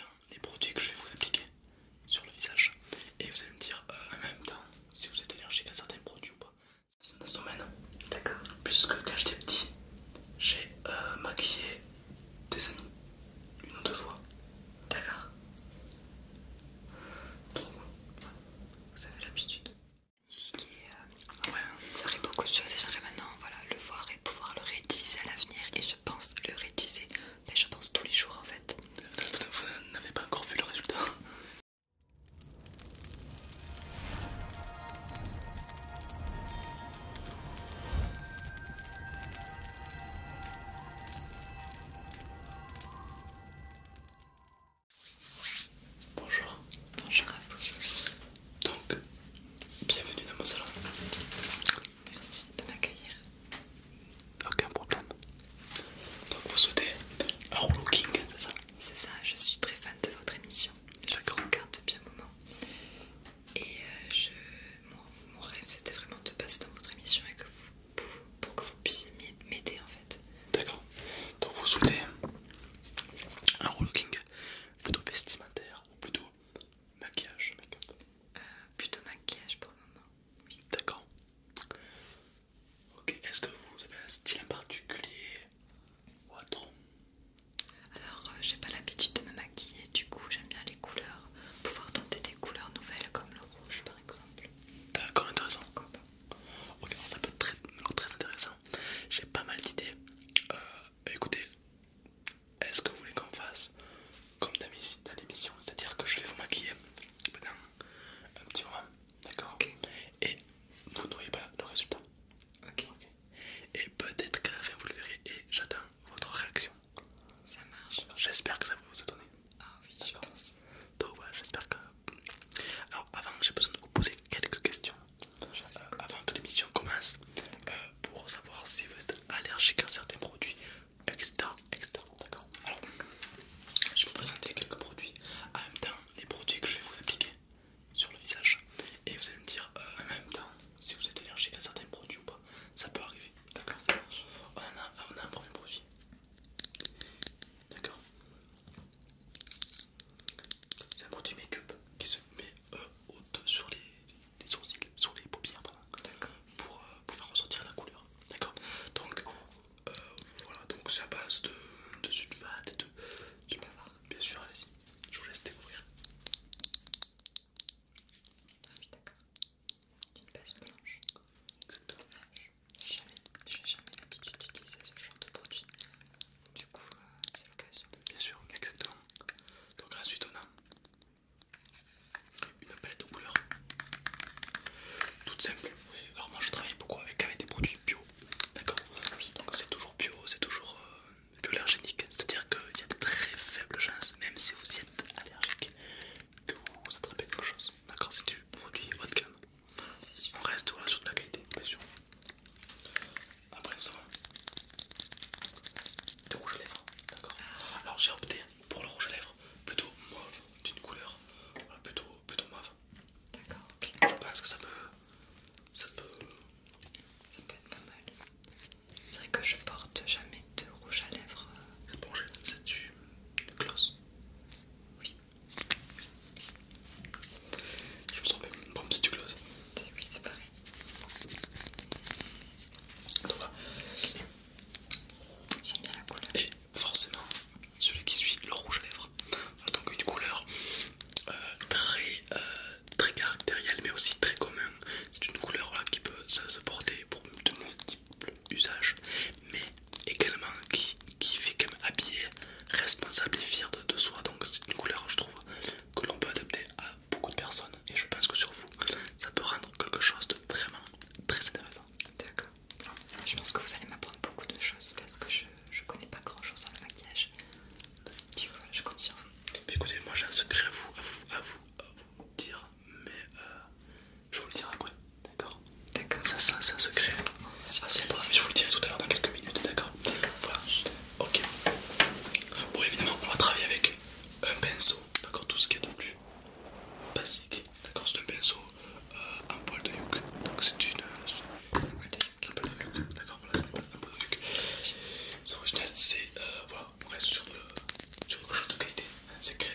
en les produits que je vais vous appliquer sur le visage et vous allez me dire euh, en même temps si vous êtes allergique à certains produits ou pas. C'est un D'accord. Puisque quand j'étais petit, j'ai euh, maquillé des amis une ou deux fois. D'accord. Vous avez l'habitude. Magnifique ça euh, beaucoup de choses et j'aimerais maintenant voilà, le voir et pouvoir le réutiliser à l'avenir je pense le réutiliser, mais je pense tous les jours en fait. Vous n'avez pas encore vu le résultat Bonjour. Bonjour à vous. Donc, bienvenue dans mon salon. Merci de m'accueillir. Aucun problème. Donc vous souhaitez un rouleau c'est ça C'est ça, je suis très fan de votre émission. Je regarde depuis un moment. Et euh, je... mon, rêve c'était vraiment de passer dans votre émission et vous, pour, que vous puissiez m'aider en fait. D'accord. Donc vous souhaitez un rouleau king plutôt vestimentaire ou plutôt Maquillage, euh, plutôt maquillage pour le moment. D'accord. Ok, est-ce que vous avez un style en particulier ou Alors, euh, j'ai pas l'habitude de me maquiller, du coup, j'aime bien les couleurs. Pouvoir tenter des couleurs nouvelles comme le rouge par exemple. D'accord, intéressant. Ok, ça peut être très, intéressant. J'ai pas mal d'idées. Euh, écoutez, est-ce que vous voulez qu'on fasse comme dans l'émission, c'est-à-dire que je vais vous maquiller pendant un petit moment, d'accord Et vous ne voyez pas le résultat. Ok, Et peut-être qu'à la fin vous le verrez et j'attends votre réaction. Ça marche. J'espère que ça va vous étonner. Ah oui, je pense. Donc voilà, j'espère que. Alors avant, j'ai besoin de vous poser quelques questions. Euh, avant que l'émission commence, euh, pour savoir si vous êtes allergique à certains produits, etc. etc. D'accord Alors, je vais vous présenter quelques produits, en même temps les produits que je vais vous appliquer sur le visage, et vous allez me dire euh, en même temps si vous êtes allergique à certains produits ou pas. Ça peut arriver, d'accord Ça On a, a un premier produit, d'accord C'est un produit make qui se met haute euh, sur les les sourcils, sur les paupières, pour, euh, pour faire ressortir la couleur. D'accord Donc, euh, voilà, donc c'est à base de, de vade et de. bavard Bien sûr, allez-y, je vous laisse découvrir. Ah oui, d'accord. D'une base blanche. Exactement. Je J'ai jamais l'habitude d'utiliser ce genre de produit. Du coup, euh, c'est l'occasion. Bien sûr, exactement. Donc ensuite on a une palette aux couleurs toute simple. Alors moi je travaille beaucoup avec, des produits bio, d'accord Donc c'est toujours bio, c'est toujours euh, bio allergénique. c'est-à-dire qu'il y a de très faibles chances, même si vous y êtes allergique, que vous attrapez quelque chose. D'accord, c'est du produit haut de gamme. On reste sur de la qualité, bien sûr. Après nous avons des rouges à lèvres, d'accord Alors j'ai opté pour le rouge à lèvres plutôt mauve, d'une couleur plutôt, plutôt mauve. D'accord, ok. Je pense que ça peut... ça peut... ça peut être pas mal. C'est vrai que je porte jamais de rouge à lèvres. Euh. C'est bon, c'est du... du gloss. Oui. Je me sens bien, bon, c'est du gloss. Oui, c'est pareil couleur. Et forcément, celui qui suit, le rouge à lèvres. Donc une couleur euh, très, euh, très caractérielle, mais aussi très commune. C'est une couleur qui peut se porter pour de multiples usages, mais également qui, fait quand même habiller, responsable et fier de soi. Donc c'est une couleur, je trouve, que l'on peut adapter à beaucoup de personnes et je pense que sur vous ça peut rendre quelque chose de vraiment très intéressant. D'accord. Je pense que vous allez m'apprendre beaucoup de choses parce que je, je connais pas grand chose dans le maquillage. Du coup, je compte sur vous. écoutez, moi j'ai un secret à vous, à vous, à vous, dire, mais euh, je vous le dirai après. D'accord D'accord. Ça, c'est un secret. c'est je vous le dirai tout à l'heure dans quelques minutes, d'accord D'accord. Voilà. Ok. Bon, évidemment, on va travailler avec un pinceau, d'accord, tout ce qu'il y a de plus basique, d'accord, c'est un pinceau euh, en poil de yuk, donc c'est une, euh, une, poil de yuck, d'accord, voilà, c'est un poil de yuk. c'est original, c'est, euh, voilà, on reste sur, le, euh, sur quelque chose de qualité, c'est très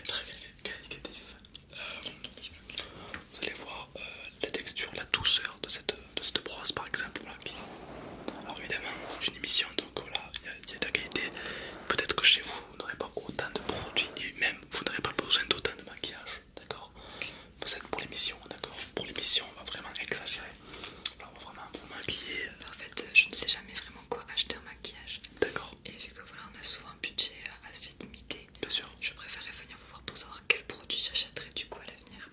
qualitatif, euh, vous allez voir la texture, la douceur de cette, de cette brosse par exemple, alors évidemment c'est une émission donc voilà, il y, a de la qualité. Peut-être que chez vous, vous n'aurez pas autant de produits et même vous n'aurez pas besoin d'autant de maquillage, d'accord Vous êtes pour l'émission, d'accord Pour l'émission, on va vraiment exagérer. on va vraiment vous maquiller. En fait, euh, je ne sais jamais vraiment quoi acheter en maquillage. D'accord. Et vu que voilà, on a souvent un budget euh, assez limité, Bien sûr. je préférerais venir vous voir pour savoir quel produit j'achèterais du coup à l'avenir.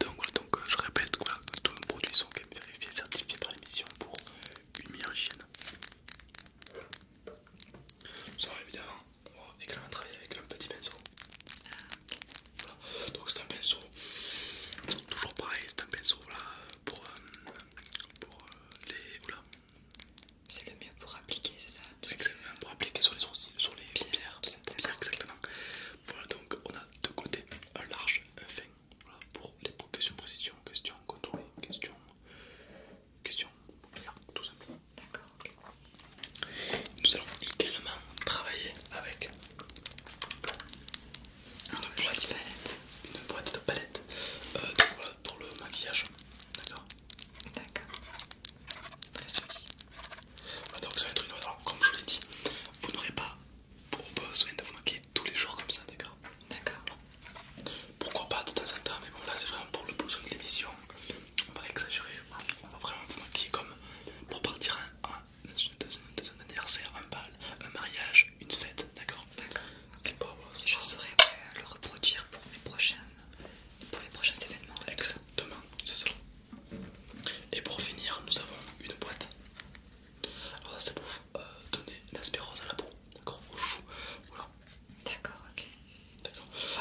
Donc voilà, donc, euh, je répète, quoi, tous nos produits sont vérifiés, certifiés par l'émission pour une meilleure hygiène. Ça va évidemment, on va également travailler avec un petit pinceau. Voilà. Donc c'est un pinceau, toujours pareil, c'est un pinceau là pour, euh, euh, les... Oula. C'est le mieux pour appliquer, c'est ça C'est Exactement, pour appliquer sur les sourcils, sur les paupières, exactement. Voilà, donc donc on a deux côtés, un large, un fin, pour les questions précision, questions contrôlées, questions, questions tout simplement. D'accord, ok. Nous allons également travailler avec une, boîte, une boîte de palette euh, pour le maquillage. D'accord D'accord. Très joli. Ah, donc ça va être une Alors, comme je vous l'ai dit, vous n'aurez pas, besoin de vous maquiller tous les jours comme ça, d'accord D'accord. Pourquoi pas de temps en temps, mais bon là c'est vraiment pour le besoin de l'émission. On va exagérer, on va vraiment vous maquiller comme pour partir un, dans, un anniversaire, un bal, un mariage, une fête, d'accord D'accord. Je serai saurai après euh, le reproduire pour mes prochaines, pour les prochains événements. Exactement, c'est ça. Et pour finir, nous avons une boîte. Alors, ça c'est pour euh, donner l'aspirose à la peau, d'accord Au chou, voilà. D'accord, ok.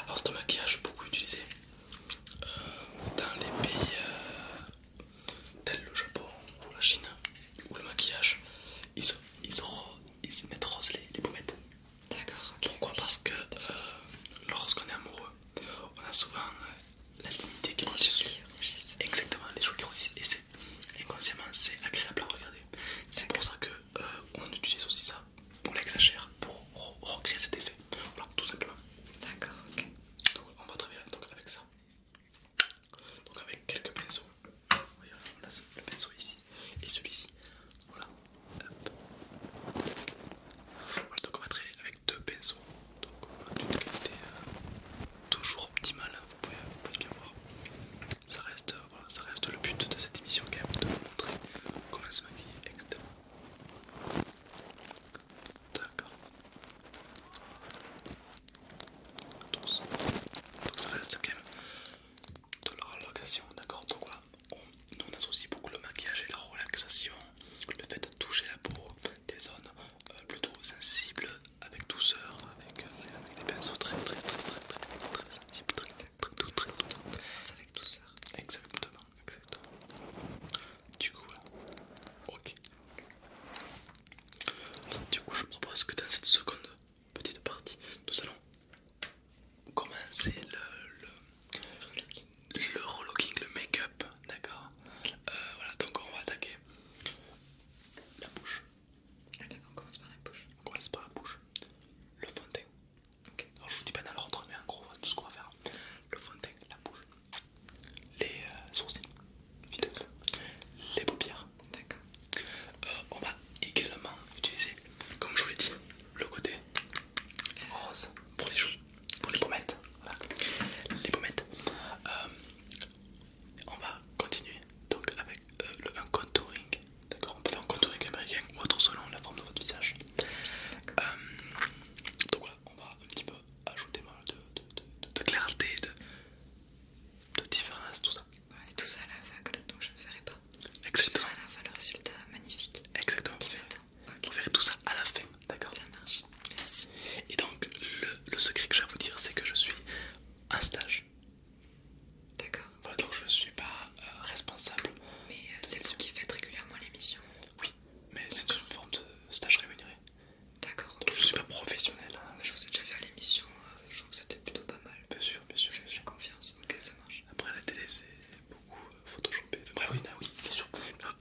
Alors, c'est un maquillage beaucoup utilisé euh, dans les pays euh, tels le Japon ou la Chine, où le maquillage ils ils ils mettent rose les, pommettes. D'accord, Pourquoi Parce que lorsqu'on est amoureux, on a souvent l'intimité euh, la dignité qui monte Exactement, les cheveux qui rougissent. Et c'est inconsciemment, c'est agréable à regarder. C'est pour ça que euh, utilise aussi ça, on l'exagère pour recréer cet effet. Voilà, tout simplement. D'accord, ok. Donc on va travailler donc, avec ça. Donc avec quelques pinceaux. Voyez, on a le pinceau ici et celui-ci. Voilà. Voilà, donc on va travailler avec deux pinceaux, donc d'une qualité euh, toujours optimale, hein, vous pouvez, bien voir. Euh, ça reste, le but de cette émission quand même, de vous montrer comment se maquiller, etc. D'accord. Donc, ça reste quand même de la relaxation, d'accord. Donc on associe beaucoup le maquillage et la relaxation le fait de toucher la peau des zones plutôt sensibles avec douceur, avec, des pinceaux très très très très très très, très sensibles, très très très très Avec douceur. Exactement, exactement. Du coup, ok. Du coup, je propose que dans cette seconde petite partie, nous allons commencer le, le relooking, le make-up, d'accord euh, Voilà, donc on va attaquer la bouche. Ah, on commence par la bouche. commence par la bouche. Le fond de teint. je vous dis pas dans l'ordre, mais en gros, tout ce qu'on va faire. Le fond de teint, la bouche, les euh, sourcils, les paupières. D'accord. Euh, on va également utiliser, comme je vous l'ai dit, le côté rose pour les joues, pour les pommettes. Voilà. Les pommettes. Euh, on va continuer donc avec euh, le, un contouring. D'accord, on peut faire un contouring américain ou autre selon la forme de votre visage. Euh, donc voilà, on va un petit peu ajouter de, clarté, de, différence, tout ça. et tout ça à la fin donc je ne verrai pas. Exactement. Je verrai à la fin le résultat magnifique. Exactement. On Vous verrez tout ça à la fin, d'accord Ça marche, Et donc, le, secret que j'ai à vous dire, c'est que je suis en stage. D'accord. donc je ne suis pas euh, responsable. Mais euh, c'est vous qui faites régulièrement l'émission Oui, mais c'est une forme de stage rémunéré. D'accord. Donc je ne suis pas professionnel. Hein. je vous ai déjà vu à l'émission, euh, je trouve que c'était plutôt pas mal. Bien sûr, bien sûr. J'ai confiance, ça marche. Après la télé, c'est beaucoup euh, photoshopé, bref, oui, bah oui, bien sûr.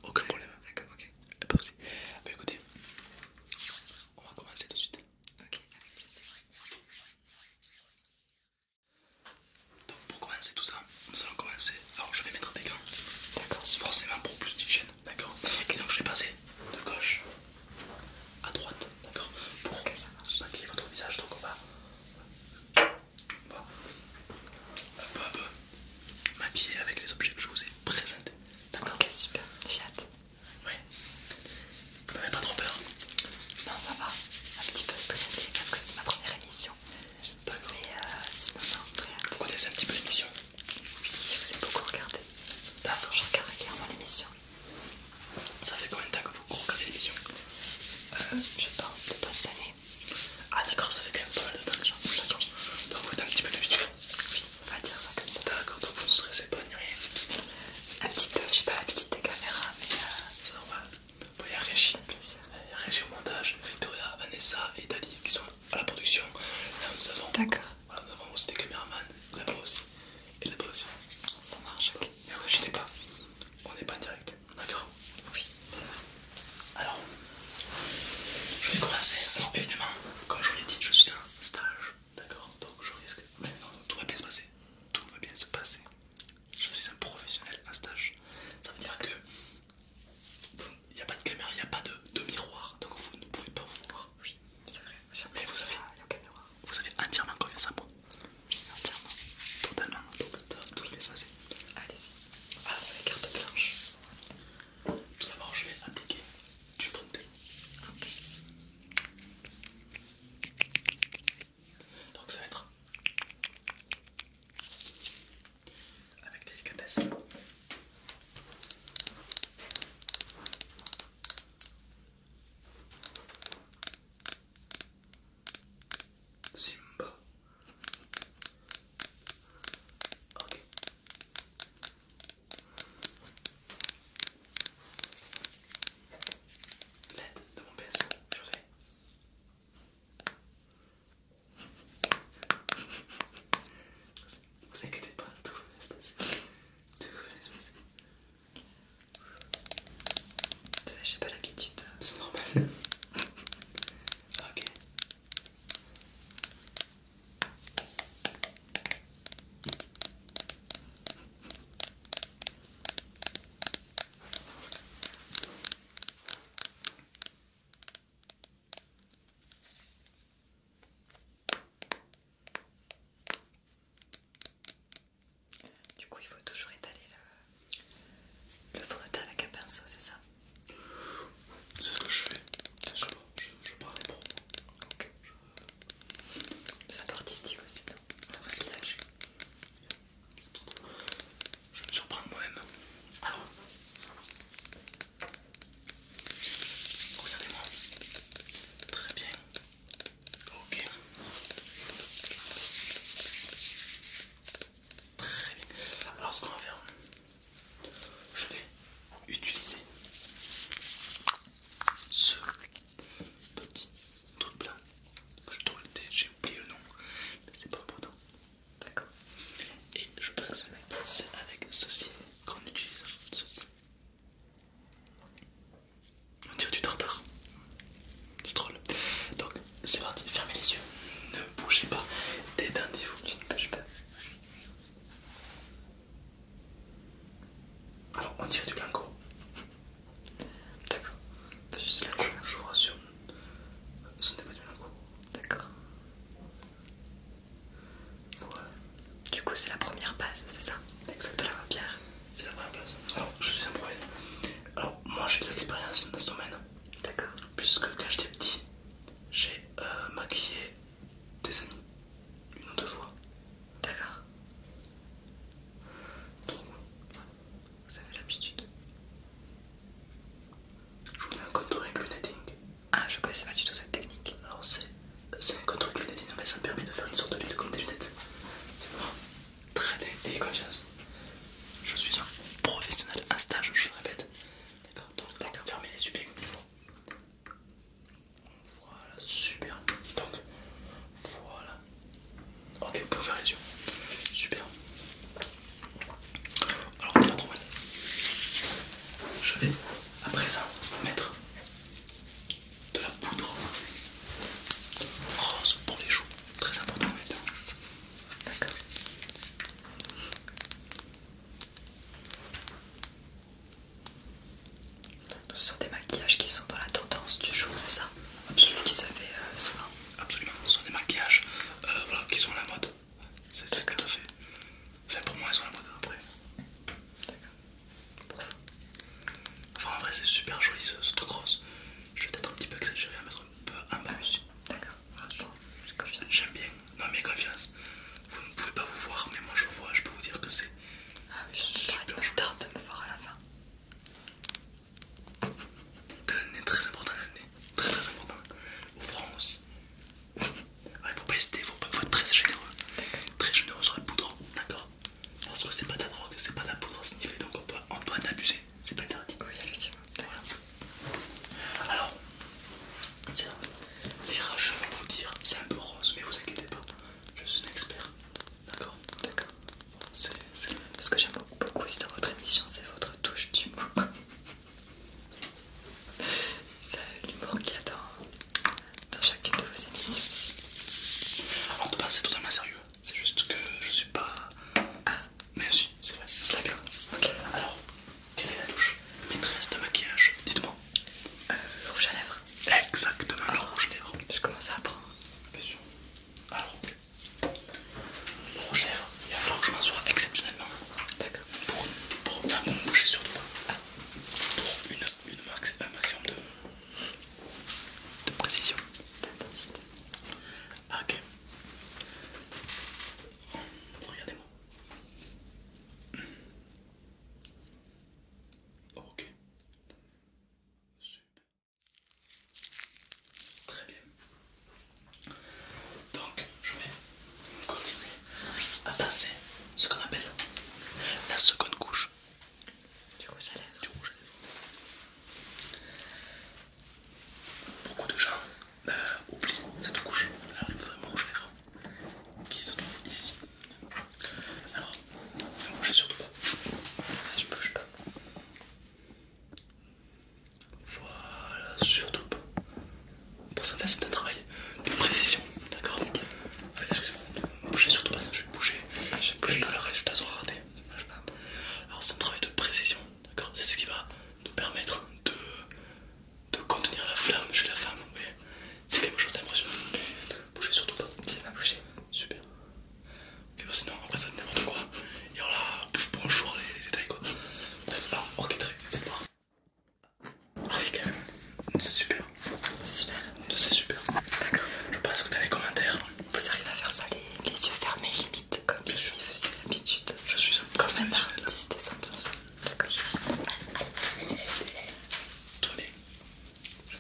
Aucun problème. D'accord, ok. Ah, pas de ah, Bah écoutez, on va commencer tout de suite. Ok, C'est vrai. Donc pour commencer tout ça, nous allons commencer. Alors je vais mettre des gants. D'accord. Forcément pour plus d'hygiène. D'accord. Et donc je vais passer de gauche à droite. D'accord. Pour maquiller votre visage. Donc on va un peu, à peu avec les objets que je vous ai présentés. D'accord Ok, super, j'ai hâte. Oui. Vous n'avez pas trop peur Non, ça va. Un petit peu stressé parce que c'est ma première émission. D'accord. Mais euh, sinon, Vous connaissez un petit peu l'émission Oui, je vous ai beaucoup regardé. D'accord. Je regarde régulièrement l'émission. Ça fait combien de temps que vous regardez l'émission euh, Je pense deux bonnes années. Ah d'accord, ça fait quand même pas mal de temps que j'en Donc vous un petit peu vidéo Oui, on va dire ça comme ça. D'accord, donc vous ne stressez pas ni Un petit peu, j'ai pas l'habitude des caméras, mais... Euh, C'est normal. il y a Régis, il y au montage, Victoria, Vanessa et Dali qui sont à la production. Là nous avons... D'accord. Voilà, nous avons aussi des caméramans, là-bas aussi, et là-bas aussi. Ça marche, ok. on n'est pas en direct. D'accord Oui, Alors, je vais commencer. Alors, évidemment, comme je vous l'ai dit, je suis en stage. D'accord Donc, je risque. Mais non, tout va bien se passer. Tout va bien se passer. Je suis un professionnel en stage. Ça veut dire que. Il n'y a pas de caméra, il n'y a pas de, miroir, donc vous ne pouvez pas vous voir. Oui, c'est vrai. Mais vous avez, vous avez entièrement confiance en moi. Oui, entièrement. Totalement. Donc, tout va bien se passer. Allez-y. Ah, c'est la carte blanche. Tout d'abord, je vais appliquer du fond de Donc, ça va être avec délicatesse. Simba. Ok. L'aide de mon pinceau, je fais. Vous inquiétez pas, tout va se passer. Tout va se passer. J'ai pas l'habitude. C'est normal. Ok. Du coup, il faut toujours étaler le frotter avec un pinceau, c'est ça C'est ce que je fais. Je, je, parle les propos. C'est un peu artistique aussi, non Le ah, Je vais me surprendre moi-même. Alors, regardez-moi. Très bien. Ok. Très bien. Alors ce qu'on va faire, je vais utiliser ce petit truc là je dois j'ai oublié le nom, mais c'est pas important. D'accord. Et je pense que c'est avec ceci qu'on utilise ceci. On dirait du tartare. C'est drôle. Donc c'est parti, fermez les yeux, ne bougez pas, détendez-vous. Tu ne bouge pas. Alors on dirait du blanco. D'accord. Je, je vous rassure, ce n'est pas du blanco. D'accord. Voilà. Du coup c'est la première base, c'est ça Exactement. De la vampire C'est la première base. Alors je suis un Alors moi j'ai de l'expérience dans ce domaine. D'accord. Puisque quand j'étais petit, j'ai euh, maquillé des amis une ou deux fois. D'accord. Vous avez l'habitude. Je vous fais un contouring lunetting. Ah, je connaissais pas du tout cette technique. Alors, c'est un contouring lunetting, mais ça me permet de faire une sorte de lutte comme des lunettes. Très bien, confiance. Je suis un professionnel en stage, je le répète. D'accord, donc fermez les yeux bien comme il faut. Voilà, super. Donc, voilà. Ok, vous pouvez faire les yeux. Super. Alors, pas trop mal. Je vais à présent mettre de la poudre rose pour les joues. Très important D'accord. Ce sont des maquillages qui sont dans la tendance du jour, c'est ça Absolument. Ce qui se fait euh, souvent Absolument, ce sont des maquillages euh, qui sont à la mode. C'est ce qu'elle te fait. Enfin, pour moi, ils sont à la mode après. D'accord. Enfin, en vrai, c'est super joli ce, truc rose. Je vais peut-être un petit peu exagérer à mettre D'accord. Ah, J'aime bien. Non mais confiance. Vous ne pouvez pas vous voir, mais moi je vois, je peux vous dire que c'est. Ah mais je tard de me voir à la fin. Le nez très important, l'année Très très important. Au front aussi. Il faut pas hésiter, faut, être très généreux. Très généreux sur la poudre, d'accord Parce que c'est pas de la drogue, c'est pas de la poudre sniffée, fait, donc on, peut, en c'est pas interdit. Oui, effectivement. Alors, tiens, les rageux vont vous dire, c'est un peu rose, mais vous inquiétez pas, je suis un expert. D'accord D'accord. C'est ce que j'aime beaucoup, aussi dans votre émission, c'est votre touche d'humour. c'est l'humour qu'il y a dans, chacune de vos émissions aussi. Alors de base c'est totalement sérieux, c'est juste que je suis pas... Ah. Mais si, c'est vrai. D'accord. Alors, quelle est la douche maîtresse de maquillage Dites-moi. Euh, rouge à lèvres. Exactement, Alors, rouge à lèvres. Je commence à apprendre. Bien sûr. Alors, rouge à lèvres, il va falloir que je sois exceptionnellement. D'accord. Pour, un bon boucher surtout. Pour une, un maximum de, de précision. D'intensité. Ah, ok. Regardez-moi. Oh, ok. Super. Très bien. Donc, je vais continuer à passer ce qu'on appelle la seconde couche. Du rouge à beaucoup de gens bah, oublient cette couche, faudrait me faudrait les qui se trouve ici. Alors, ne bougez surtout pas, je ne bouge pas. Voilà, surtout pas. Pour ça, c'est un travail de précision, d'accord Enfin Excusez-moi, ne bougez surtout pas, ça je vais bouger, le résultat sera raté. Alors, c'est un travail de précision D'accord C'est ce qui va nous permettre de, contenir la flamme chez la femme. C'est quelque chose d'impressionnant. Bougez surtout pas. elle va bouger. Super. Ok, sinon après ça n'importe quoi. Et alors là, bonjour les, les détails quoi. ok, très bien. Faites voir. Ah oui, C'est super. C'est super. D'accord. Je pense que dans les commentaires, vous arrivez à faire ça les yeux fermés limite comme je suis vous Je suis un comme un artiste et D'accord. Je me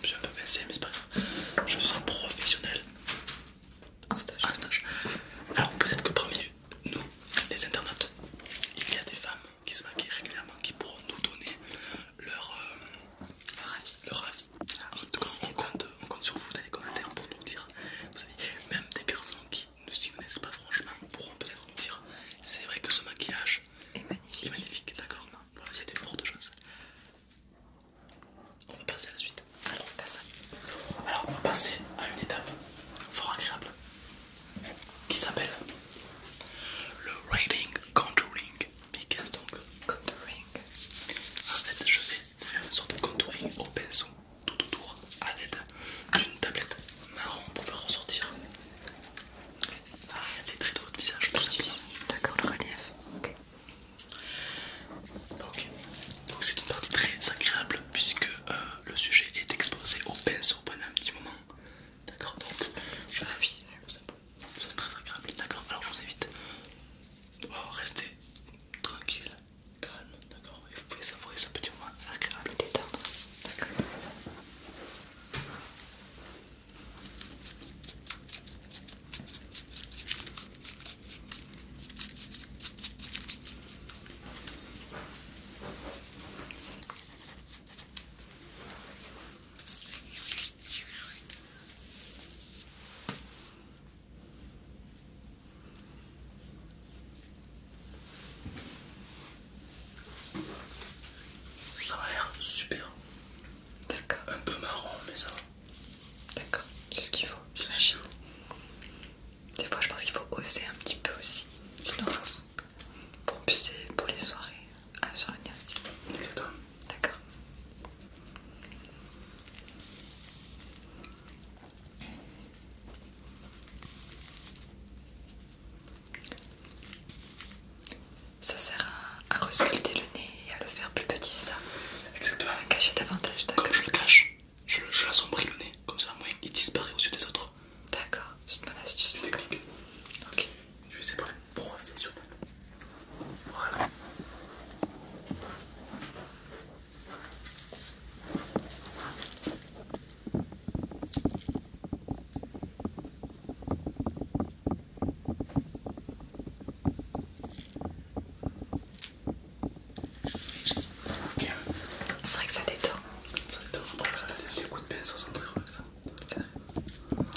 suis un peu pincé, mais c'est pas grave. Je suis professionnel. Un stage. En stage. Alors peut-être que parmi nous, les internautes, il y a des femmes qui se maquillent régulièrement, qui pourront nous donner leur, euh, avis. Ah en tout cas, on compte on compte sur vous dans les commentaires pour nous dire. Vous savez, même des garçons qui ne s'y connaissent pas franchement pourront peut-être nous dire c'est vrai que ce maquillage est magnifique, d'accord non, des y de des On va passer à la suite. Alors, on va passer à une étape fort agréable qui s'appelle le railing Contouring contouring. En fait, je vais faire une sorte de contouring au pinceau tout autour à l'aide d'une tablette marron pour faire ressortir ah, les traits de votre visage, tout simplement. D'accord, le relief. OK. Donc c'est une partie très agréable puisque euh, le sujet est exposé au pinceau pendant un petit moment. D'accord, donc je vais ah c'est très agréable. D'accord, alors je vous invite à oh, rester tranquille, calme, d'accord Et vous pouvez savourer ce petit moment agréable détente d'accord ça va l'air super. D'accord. Un peu marron, mais ça va. D'accord, c'est ce qu'il faut, j'imagine. Des fois, je pense qu'il faut oser un petit peu aussi. Sinon, pour, pour les soirées à, ah, sur l'université. Exactement. D'accord. Ça sert à, resculpter le nez et à le faire plus petit, c'est ça Exactement. cacher davantage, d'accord. Comme je le cache, je, je l'assombris le nez, comme ça moins il disparaît au yeux des autres. D'accord, c'est une bonne astuce. C'est technique. Ok. Je vais essayer de parler professionnel. Voilà. C'est vrai que ça détend. Ça détend. Les coups de pinceau sont très ça.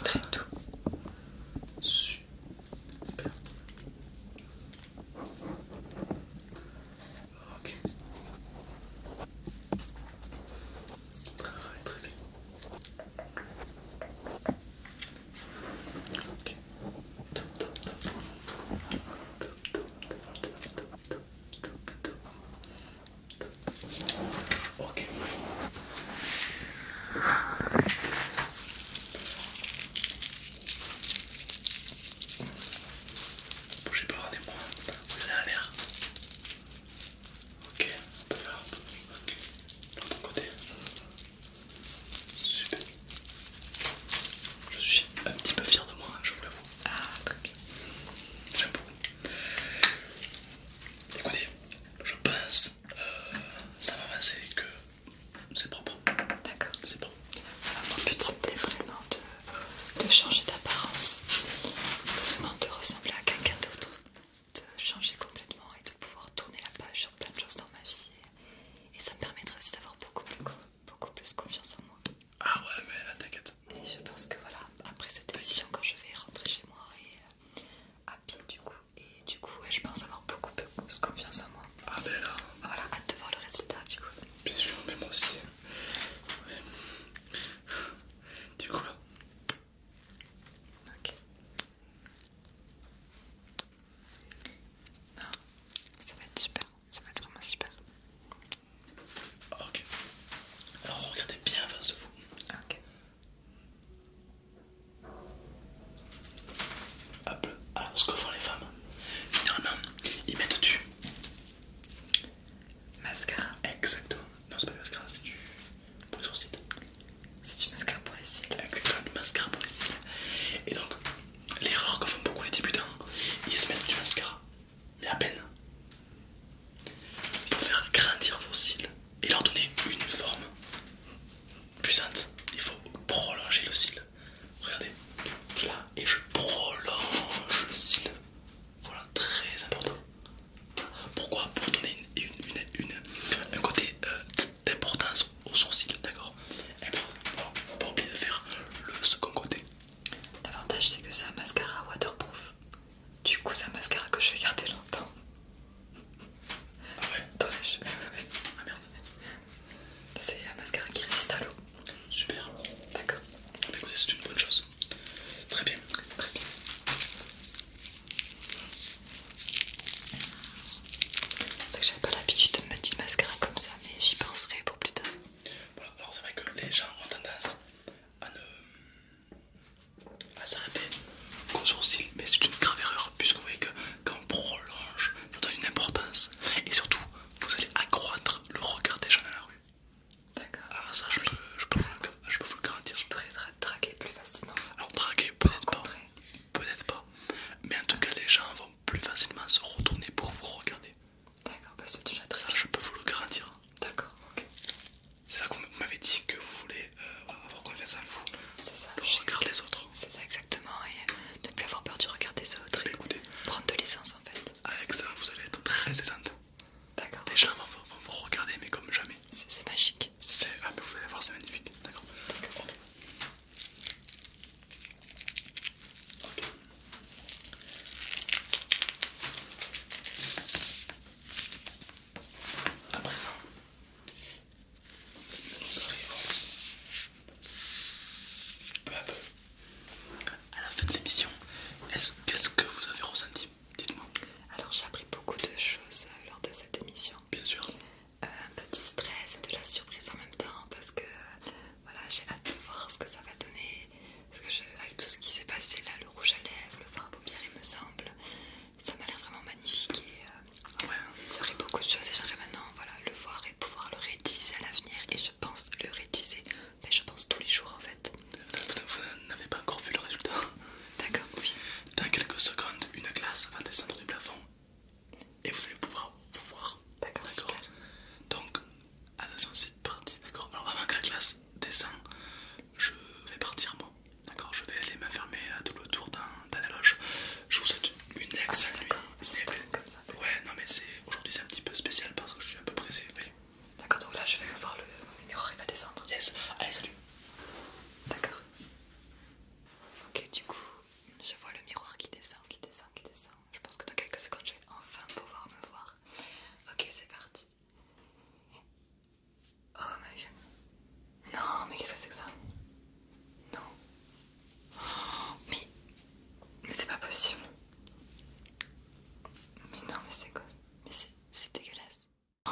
Très doux. Ok. Très, très bien. Ok. Bougez pas, rendez-moi. Vous à l'air. Ok, on peut faire un peu. Ok, de côté. Super. Je suis un petit peu fier de moi, hein, je vous l'avoue. Ah, très bien. J'aime beaucoup. Écoutez, je pense, euh, ça va passer que c'est propre. D'accord. C'est propre. Alors, mon but c'était vraiment de, changer d'apparence. C'était vraiment de ressembler à quelqu'un d'autre, de changer complètement et de pouvoir tourner la page sur plein de choses dans ma vie. Et ça me permettrait aussi d'avoir beaucoup plus, beaucoup plus confiance en moi. Ah ouais, mais là t'inquiète. Et je pense que voilà, après cette émission, quand je vais rentrer chez moi et euh, à pied du coup, et du coup, je pense avoir beaucoup plus confiance en moi. Ah ben là. Ah, voilà, hâte de voir le résultat du coup. Bien sûr, mais moi aussi. Ouais. Du coup là. Ok. Ah, ça va être super, ça va être vraiment super. Ok. Alors regardez bien face à vous. Ok. Hop, alors ce que font les femmes, généralement, ils mettent du mascara. Exactement, non, c'est pas du mascara, c'est du. C'est du mascara pour les cils. Exactement, du mascara pour les cils. Et donc, l'erreur que font beaucoup les débutants, ils se mettent du mascara, mais à peine. Pour faire grandir vos cils et leur donner une forme puissante, il faut prolonger le cil. Regardez, là, et je prolonge le cil. Voilà, très important. Pourquoi Pour donner une, une, un côté euh, d'importance au sourcil, d'accord ne Faut pas oublier de faire le second côté. L'avantage c'est que c'est un mascara waterproof. Du coup, c'est un mascara que je vais garder longtemps. Ah ouais ah, merde. C'est un mascara qui résiste à l'eau. Super. D'accord. écoutez, c'est une bonne chose. Très bien. Très bien. C'est que j'avais pas l'habitude de mettre du mascara comme ça, mais j'y penserai pour plus tard. Voilà, alors c'est vrai que les gens ont tendance à ne... à s'arrêter gros sourcil, mais c'est une grave erreur puisque vous voyez que quand on prolonge, ça donne une importance et surtout vous allez accroître le regard des gens dans la rue. D'accord. Ah ça je peux, je vous le garantir. Je pourrais draguer plus facilement. Alors draguer peut-être pas, peut-être pas, mais en tout cas les gens vont plus facilement se retourner pour vous regarder. D'accord, bah c'est déjà très. je peux vous le garantir. D'accord, ok. C'est ça vous m'avez dit que vous voulez euh, avoir confiance en vous. C'est Pour les autres. C'est ça exactement, et euh, ne plus avoir peur de regarder des autres. Bah, prendre de l'essence en fait. Avec ça, vous allez être très aisante. D'accord. Les gens vont, vous regarder, mais comme jamais. C'est magique. ah, mais vous allez voir, c'est magnifique. D'accord. Ok. À présent, nous arrivons peu à la fin de l'émission. Qu'est-ce que vous avez ressenti Dites-moi. Alors j'ai appris beaucoup de choses euh, lors de cette émission. Bien sûr. Euh, un peu du stress et de la surprise en même temps parce que euh, voilà, j'ai hâte de voir ce que ça va donner. avec tout ce qui s'est passé là, le rouge à lèvres, le fard à paupières, il me semble, ça m'a l'air vraiment magnifique et euh, beaucoup de choses et j'aimerais maintenant voilà, le voir et pouvoir le réutiliser à l'avenir et je pense le réutiliser, mais je pense tous les jours en fait. Vous, n'avez pas encore vu le résultat D'accord, oui. Dans quelques secondes, une glace va descendre du plafond et vous allez pouvoir vous voir. D'accord, Donc, attention, c'est parti, d'accord Alors, avant que la glace descende, je vais partir moi D'accord, je vais aller m'enfermer à tout le tour dans, la loge. Je vous souhaite une ah, excellente nuit. Ouais, non mais c'est aujourd'hui c'est un petit peu spécial parce que je suis un peu pressé. D'accord, donc là je vais voir le miroir il va descendre. Yes, allez salut. D'accord. Ok, du coup, je vois le miroir qui descend, qui descend, qui descend. Je pense que dans quelques secondes je vais enfin pouvoir me voir. Ok, c'est parti. Oh gueule. Non, mais qu'est-ce que c'est que ça Non. mais. c'est pas possible. Mais non, mais c'est quoi Mais c'est dégueulasse. Oh.